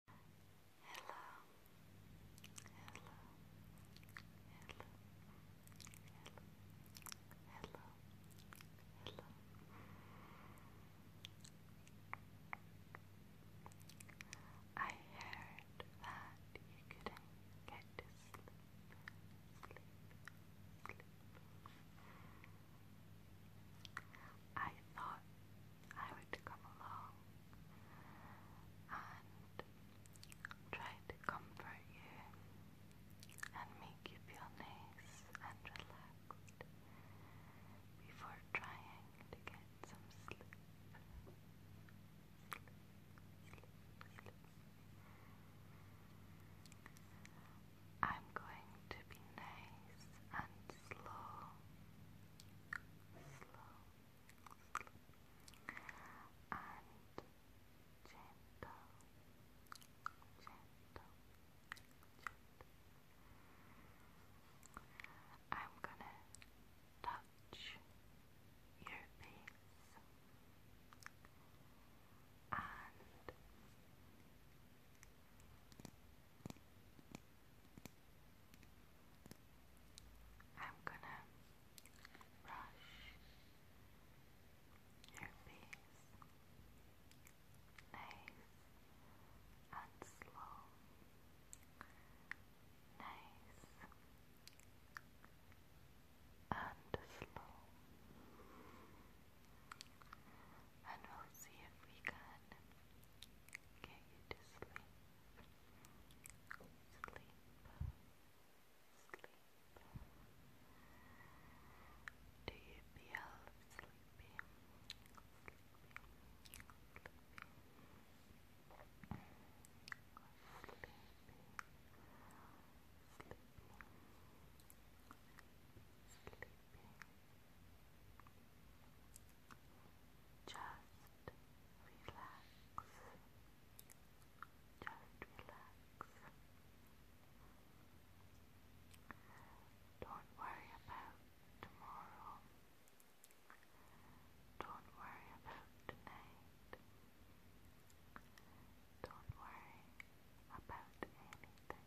hello. I heard that you couldn't get to sleep. I thought I would come along and try to comfort you and make you feel nice and relaxed before trying to get some sleep. I'm going to be nice and slow, slow, slow gentle, gentle, gentle. I'm gonna touch your face and I'm gonna brush your face nice and slow, nice and slow, and we'll see if we can get you to sleep. Sleep. Sleep. Do you feel sleepy? Sleepy. Sleepy. Sleepy. Sleepy. Just relax. Just relax. Don't worry about tomorrow. Don't worry about tonight. Don't worry about anything.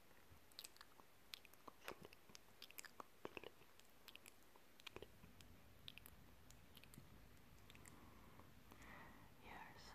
You're so beautiful, beautiful, beautiful. Shh.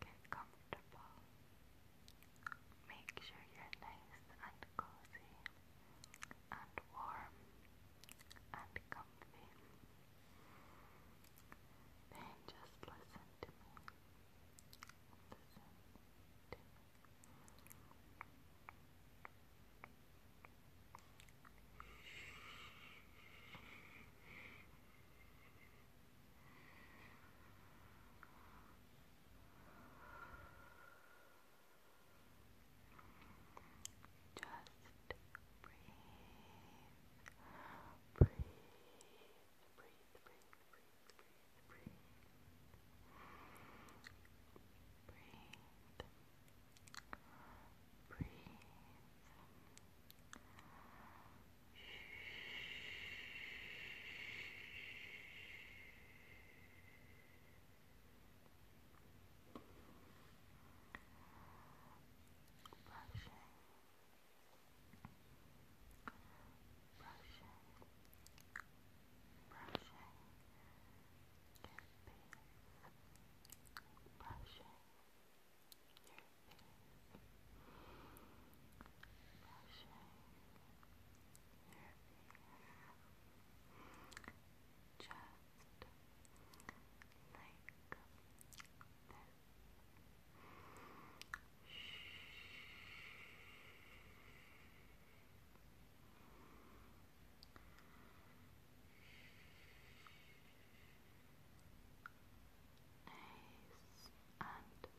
Get comfortable. Make sure you're nice and cozy and warm and comfy. Then just Listen to me. Just breathe breathe, breathe, breathe, breathe, breathe, breathe. Breathe. Breathe. Brushing, Brushing, brushing, your teeth, brushing, your teeth, brushing, your teeth, just like this. Nice and slow. Nice and slow.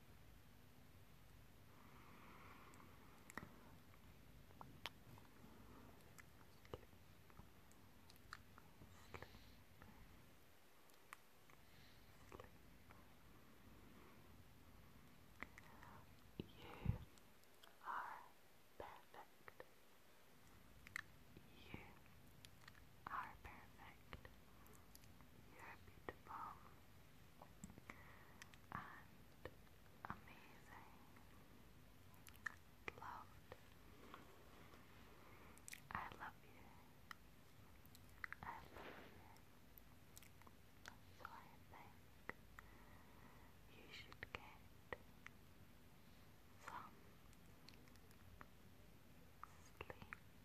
perfect. You are perfect. You're beautiful and amazing, loved. I love you. I love you. So I think you should get some sleep.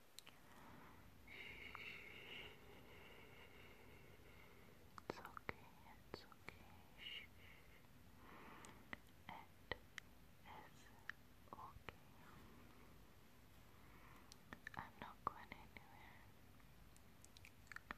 It's okay, it's okay. It is okay. I'm not going anywhere. It's okay.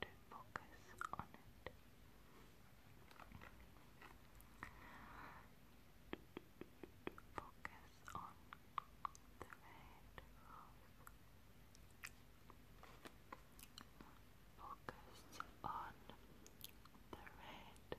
to focus on it. Focus on the red Focus on the red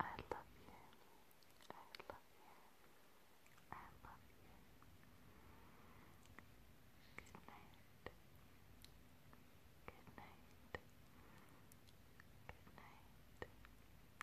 I love you. I love you. I love you. Good night. Good night. Good night